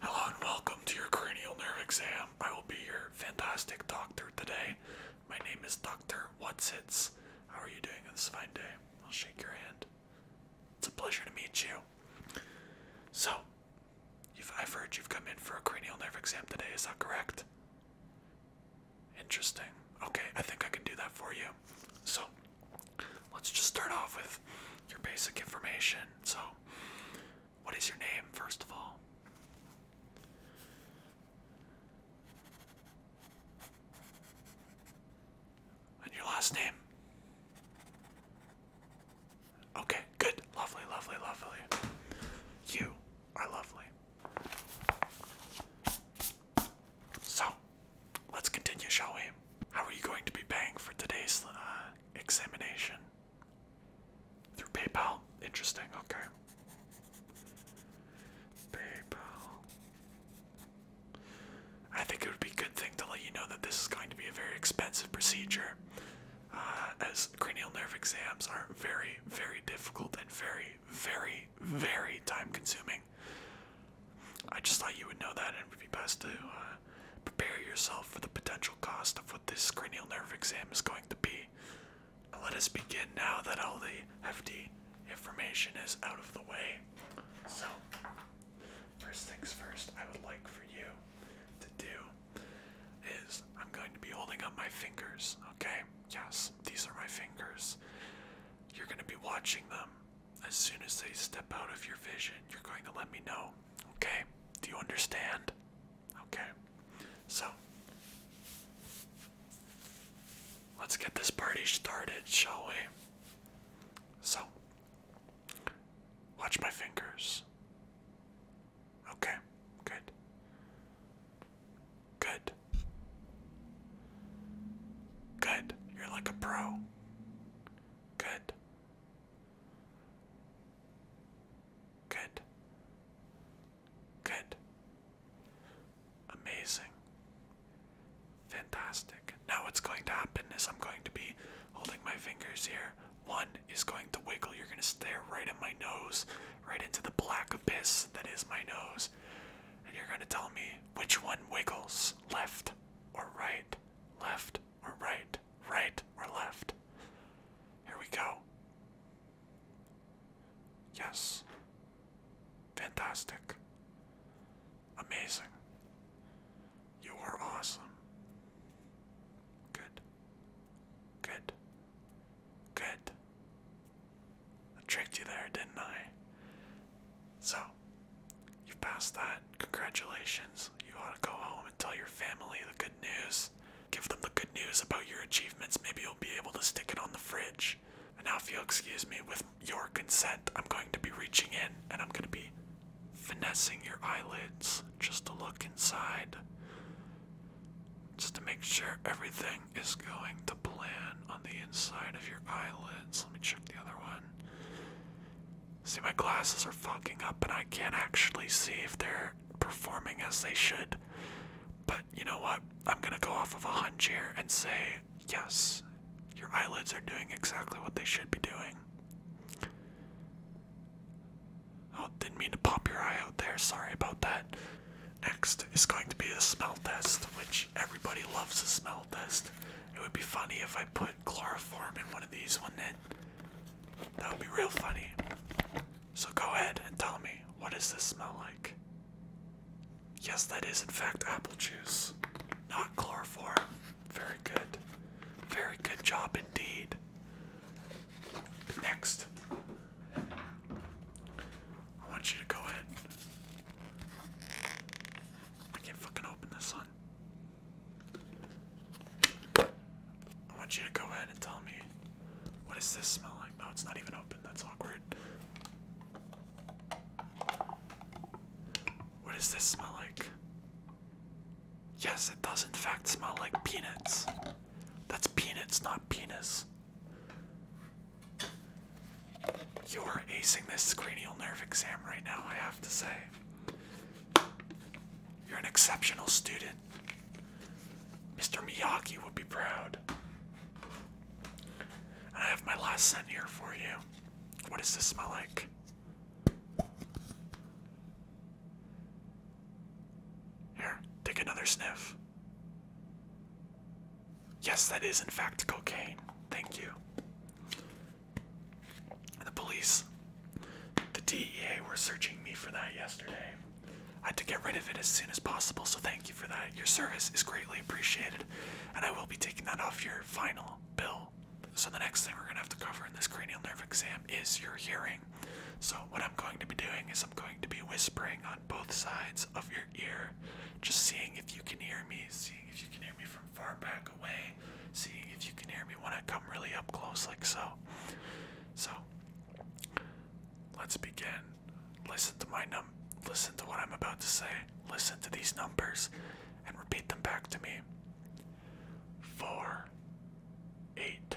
Hello and welcome to your cranial nerve exam. I will be your fantastic doctor today. My name is Dr. Whatsits. How are you doing on this fine day? I'll shake your hand. It's a pleasure to meet you. So, you've, i you've come in for a cranial nerve exam today, is that correct? Interesting. Okay, I think I can do that for you. So, let's just start off with your basic information. So, what is your name, first of all? And your last name? Okay, good. Lovely, lovely, lovely. You are lovely. So, Let's continue, shall we? How are you going to be paying for today's uh, examination? Through PayPal? Interesting, okay. PayPal. I think it would be a good thing to let you know that this is going to be a very expensive procedure, uh, as cranial nerve exams are very, very difficult and very, very, very time consuming. I just thought you would know that, and it would be best to uh, prepare yourself for the potential cost of what this cranial nerve exam is going to be. Let us begin now that all the hefty information is out of the way. So, first things first, I would like for you to do is I'm going to be holding up my fingers, okay? Yes, these are my fingers. You're going to be watching them as soon as they step out of your vision, you're going to let me know. Okay? Do you understand? Okay. So, let's get this party started, shall we? So, watch my fingers. Okay, good. Good. Good. You're like a pro. Good. Good. Good. Amazing. Fantastic. Now what's going to happen is I'm going to be holding my fingers here. One is going to wiggle. You're going to stare right at my nose, right into the black abyss that is my nose. And you're going to tell me which one wiggles left or right, left or right, right or left. Here we go. Yes. Fantastic. Amazing. You are awesome. Good. Good. Good tricked you there, didn't I? So, you have passed that. Congratulations. You ought to go home and tell your family the good news. Give them the good news about your achievements. Maybe you'll be able to stick it on the fridge. And now, if you'll excuse me, with your consent, I'm going to be reaching in and I'm going to be finessing your eyelids just to look inside. Just to make sure everything is going to plan on the inside of your eyelids. Let me check the other one. See, my glasses are fucking up, and I can't actually see if they're performing as they should. But you know what? I'm gonna go off of a hunch here and say, yes, your eyelids are doing exactly what they should be doing. Oh, didn't mean to pop your eye out there. Sorry about that. Next is going to be a smell test, which everybody loves a smell test. It would be funny if I put chloroform in one of these, wouldn't it? That would be real funny. So go ahead and tell me, what does this smell like? Yes, that is in fact apple juice, not chloroform. Very good. Very good job indeed. Next, I want you to go ahead. I can't fucking open this one. I want you to go ahead and tell me what does this smell like? No, it's not even open. That's awkward. What does this smell like? Yes, it does in fact smell like peanuts. That's peanuts, not penis. You are acing this cranial nerve exam right now, I have to say. You're an exceptional student. Mr. Miyaki would be proud. I have my last scent here for you. What does this smell like? Here, take another sniff. Yes, that is in fact cocaine. Thank you. The police, the DEA were searching me for that yesterday. I had to get rid of it as soon as possible, so thank you for that. Your service is greatly appreciated, and I will be taking that off your final bill. So, the next thing we're going to have to cover in this cranial nerve exam is your hearing. So, what I'm going to be doing is I'm going to be whispering on both sides of your ear, just seeing if you can hear me, seeing if you can hear me from far back away, seeing if you can hear me when I come really up close, like so. So, let's begin. Listen to my num. Listen to what I'm about to say. Listen to these numbers, and repeat them back to me. Four, eight,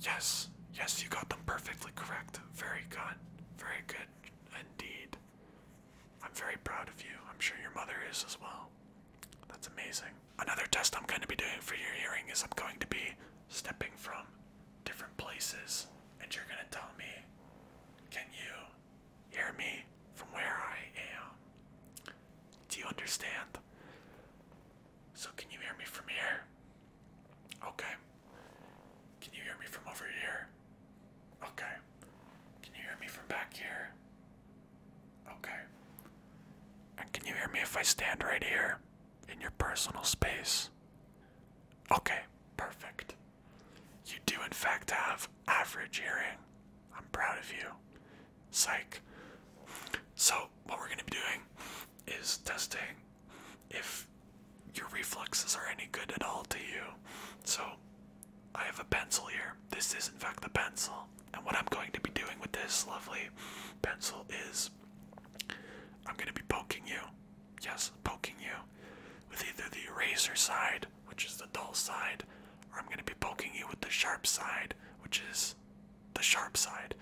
Yes, yes, you got them perfectly correct. Very good, very good indeed. I'm very proud of you. I'm sure your mother is as well. That's amazing. Another test I'm going to be doing for your hearing is I'm going to be stepping from different places, and you're going to tell me, can you hear me from where I am? Do you understand? So, can you hear me from here? Okay. Can you hear me from over here? Okay. Can you hear me from back here? Okay. And can you hear me if I stand right here in your personal space? Okay, perfect. You do, in fact, have average hearing. I'm proud of you. Psych. So, what we're going to be doing is testing if your reflexes are any good at all to you. So, I have a pencil here. This is, in fact, the pencil. And what I'm going to be doing with this lovely pencil is I'm going to be poking you. Yes, poking you with either the eraser side, which is the dull side, or I'm going to be poking you with the sharp side, which is the sharp side.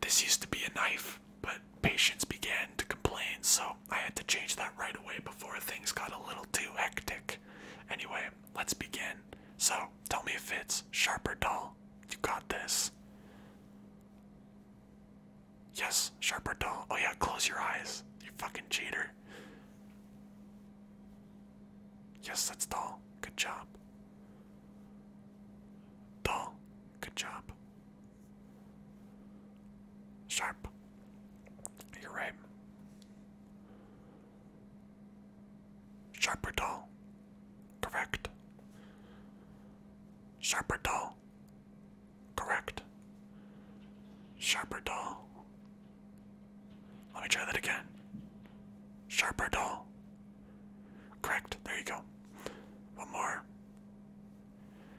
This used to be a knife, but patients began to complain, so I had to change that right away before things got a little too hectic. Anyway, let's begin. So, tell me if it's sharp or dull. You got this. Yes, sharp or dull. Oh yeah, close your eyes. You fucking cheater. Yes, that's dull. Good job. Dull. Good job. Sharp. You're right. Sharper dull. Correct. Sharper dull. Correct. Sharper dull. Let me try that again. Sharper dull. Correct. There you go. One more.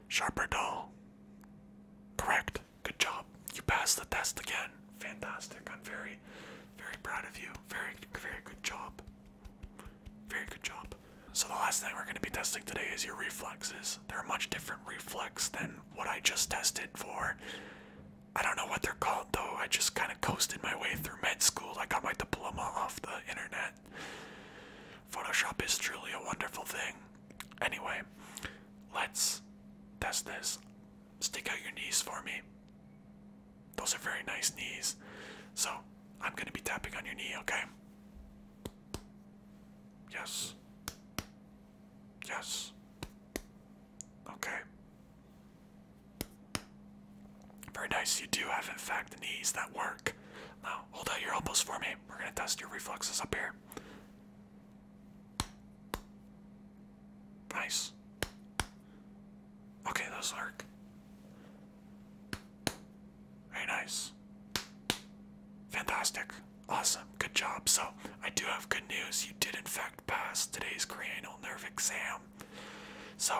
Sharper dull. Correct. Good job. You passed the test again. Fantastic. I'm very, very proud of you. Very, very good job. Very good job. So the last thing we're going to be testing today is your reflexes. They're a much different reflex than what I just tested for I don't know what they're called though. I just kind of coasted my way through med school. I got my diploma off the internet. Photoshop is truly a wonderful thing. Anyway, let's test this. Stick out your knees for me. Those are very nice knees. So, I'm going to be tapping on your knee, okay? Yes. Yes. Okay. Very nice. You do have, in fact, knees that work. Now, hold out your elbows for me. We're going to test your reflexes up here. Nice. Okay, those work. Very nice. Fantastic. Awesome. Good job. So, I do have good news. You did, in fact, pass today's cranial nerve exam. So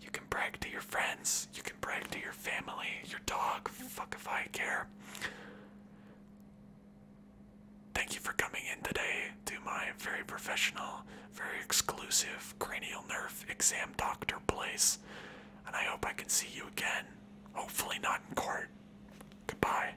you can brag to your friends, you can brag to your family, your dog, fuck if I care. Thank you for coming in today to my very professional, very exclusive cranial nerve exam doctor place. And I hope I can see you again. Hopefully, not in court. Goodbye.